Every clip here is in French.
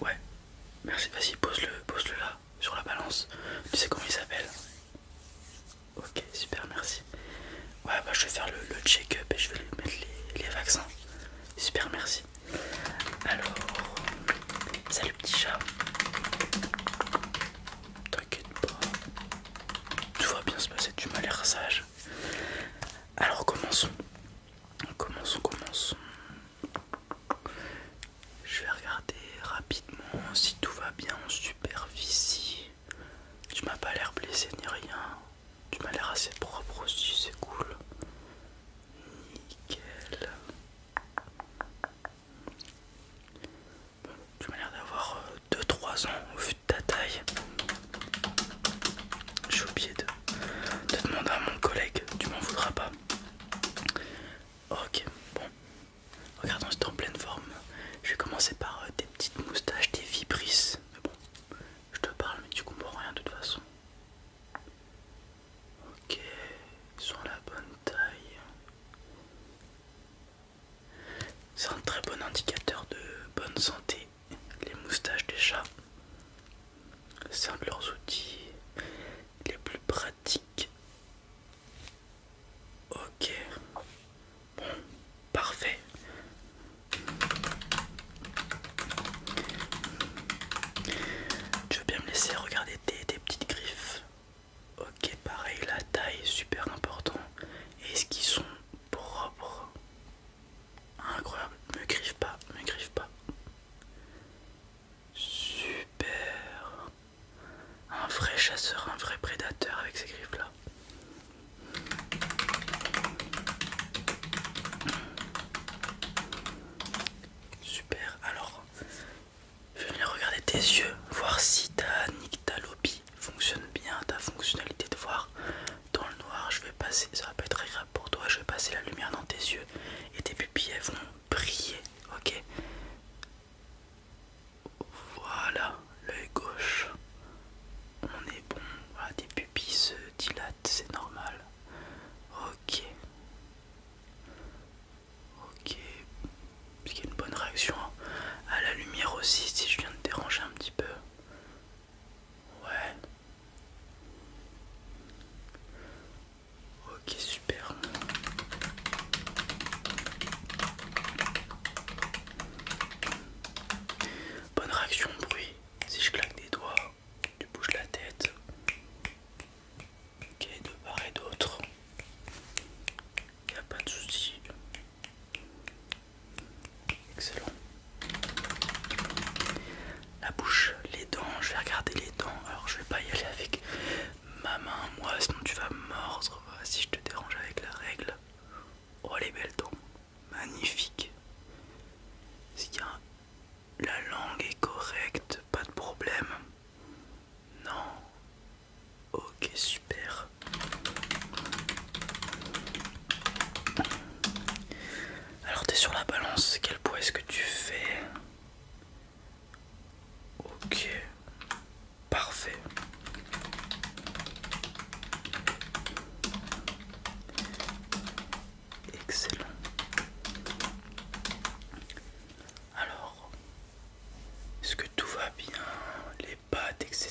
Ouais, merci, vas-y, pose-le pose -le là, sur la balance. Tu sais comment il s'appelle Ok, super, merci. Ouais, bah je vais faire le, check-up et je vais lui mettre les, vaccins. Super, merci. Alors, salut petit chat. T'inquiète pas, tout va bien se passer, tu m'as l'air sage. Alors, commençons. On commence, Je vais regarder rapidement si tout va bien en superficie. Tu m'as pas l'air blessé ni rien. Tu m'as l'air assez propre aussi, c'est cool. Nickel. tu m'as l'air d'avoir 2-3 euh, ans au vu de ta taille. J'ai oublié de, te demander à mon collègue, tu m'en voudras pas. Ok, bon. Regardons, c'est en pleine forme. Je vais commencer par des euh, petites moustaches, des vibrisses. Mais bon, je te parle, mais tu comprends rien de toute façon. Ok, ils sont à la bonne taille. C'est un très bon indicateur de bonne santé les moustaches des chats. C'est un de leurs outils les plus pratiques. Ok, bon, parfait. Tu veux bien me laisser regarder tes, petites griffes Ok, pareil, la taille est super important. Est-ce qu'ils sont propres Incroyable, me griffe pas, me griffe pas. Super. Un vrai chasseur, un vrai prédateur avec ces griffes là. Super, alors je viens regarder tes yeux, voir si t'as ta lobby fonctionne bien ta fonctionnalité de voir dans le noir je vais passer ça va pas être agréable pour toi je vais passer la lumière dans tes yeux et tes pupilles elles vont briller ok voilà l'œil gauche on est bon voilà ah, tes pupilles se dilatent c'est normal ok ok parce y a une bonne réaction à la lumière aussi si je viens de déranger un petit peu Ouais. Ok, super. Bonne réaction au bruit. Si je claque des doigts, tu bouges la tête. Ok, de part et d'autre. Il a pas de souci. Excellent. La bouche, les dents, je vais regarder les dents. Alors je vais pas y aller avec ma main, moi, sinon tu vas mordre si je te dérange avec la règle. Oh les belles dents, magnifique. La langue est correcte, pas de problème. Non, Ok, super. Alors t'es sur la balance, quel poids est-ce que tu fais Ok, parfait. Excellent. Alors, est-ce que tout va bien Les pattes, etc.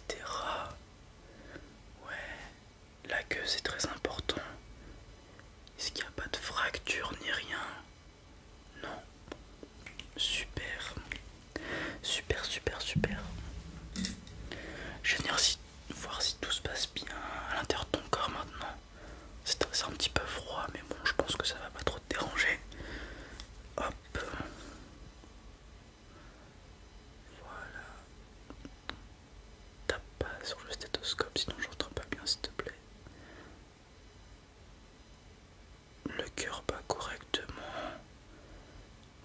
Ouais, la queue c'est très important. Est-ce qu'il n'y a pas de fracture ni rien Non. Super. Super, super, super. Je vais venir voir si tout se passe bien à l'intérieur de ton corps maintenant. C'est un petit peu froid, mais bon, je pense que ça va pas trop te déranger. Hop. Voilà. Tape pas sur le stéthoscope, sinon je rentre pas bien s'il te plaît. Le cœur bat correctement.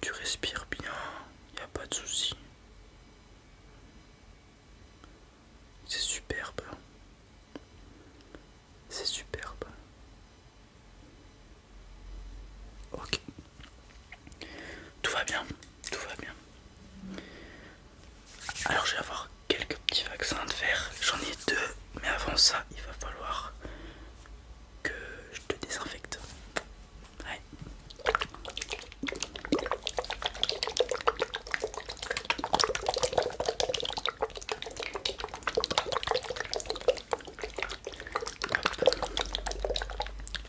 Tu respires bien, il a pas de souci. C'est superbe. C'est superbe. Ok. Tout va bien, tout va bien. Alors je vais avoir quelques petits vaccins à faire. J'en ai deux, mais avant ça, il va falloir que je te désinfecte. Ouais.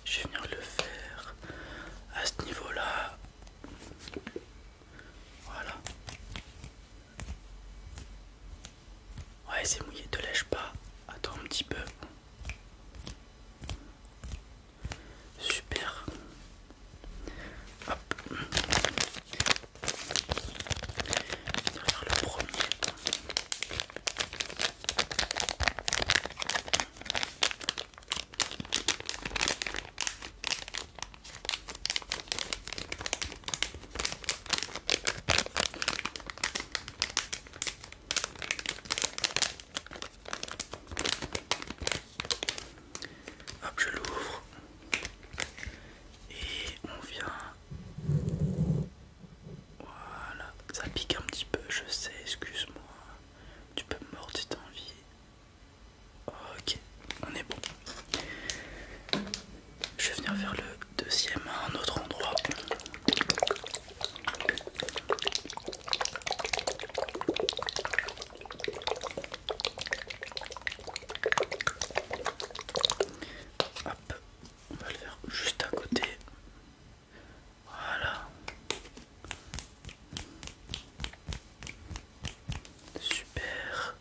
Je vais venir le faire à ce niveau-là. Voilà. Ouais, c'est mouillé, te lèche pas. Attends un petit peu. Super. Hop. On va faire le premier. Hop, je l'ouvre et on vient voilà ça pique un petit peu je sais excuse moi tu peux me mordre si t'as envie ok on est bon je vais venir vers le deuxième un autre endroit Hop, on va le faire juste à côté. Voilà. Super.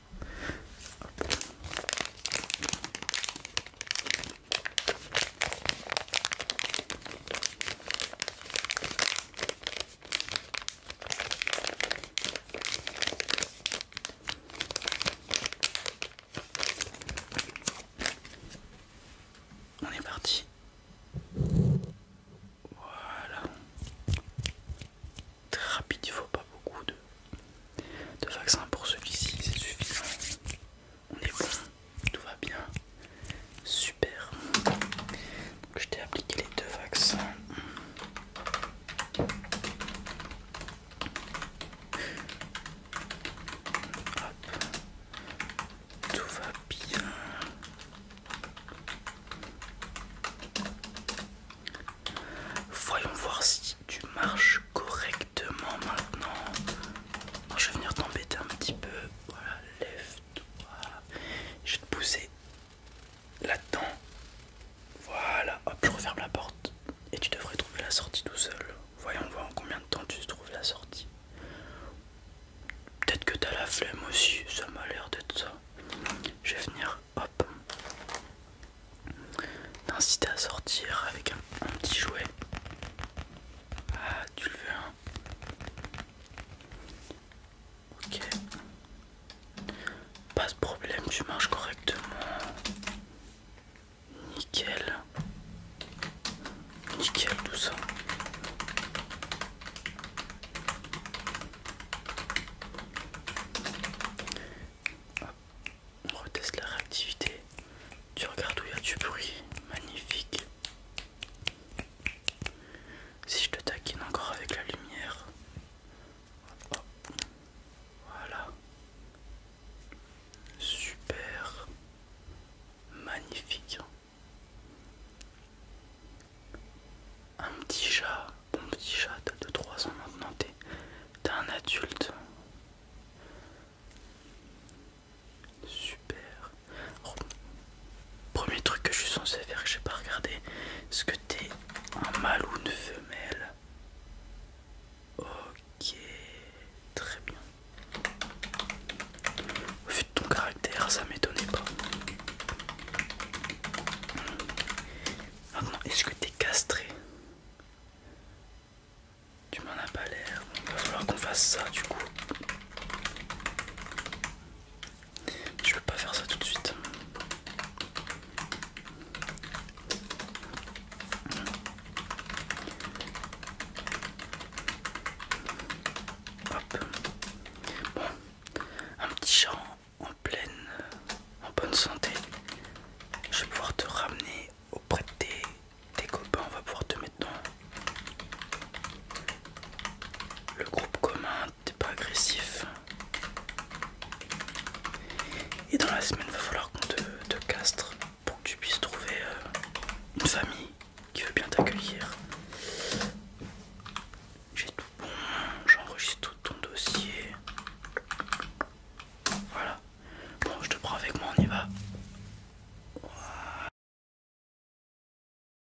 On est parti. Voilà. Très rapide, il faut pas beaucoup de, vaccins pour celui-ci, c'est suffisant. On est bon, tout va bien. Super. je t'ai appliqué les deux vaccins. Tout va bien. Voyons voir si tu marches correctement maintenant. je vais venir t'embêter un petit peu. Voilà, lève-toi. Je vais te pousser là-dedans. Voilà, hop, je referme la porte et tu devrais trouver la sortie tout seul. Voyons voir en combien de temps tu trouves la sortie. Peut-être que t'as la flemme aussi, ça m'a l'air d'être ça. Je vais venir, hop, t'inciter à sortir avec un, petit jouet. Ah, tu le veux, hein Ok. Pas de problème, tu marches correctement. Nickel. Nickel tout ça. On reteste la réactivité. Tu regardes où il y a du bruit. Magnifique. Si je te taquine encore avec la lumière, voilà. Super. Magnifique. Un petit chat. Bon petit chat, de 3 ans maintenant. T'es un adulte. Super. Premier truc que je suis censé faire, que j'ai pas regardé, est-ce que t'es un mâle ou une femelle Ok, très bien. Au vu de ton caractère, ça m'étonnait pas. Maintenant, est-ce que t'es castré Tu m'en as pas l'air. Il va falloir qu'on fasse ça du coup. Je peux pas faire ça tout de suite. Hop. Bon, un petit chat en pleine, en bonne santé. Je vais pouvoir te ramener auprès de tes copains. On va pouvoir te mettre dans le groupe commun t'es pas agressif. Et dans la semaine, il va falloir qu'on te, castre pour que tu puisses trouver euh, une famille qui veut bien t'accueillir. J'ai tout bon, j'enregistre tout ton dossier. Voilà. Bon, je te prends avec moi, on y va.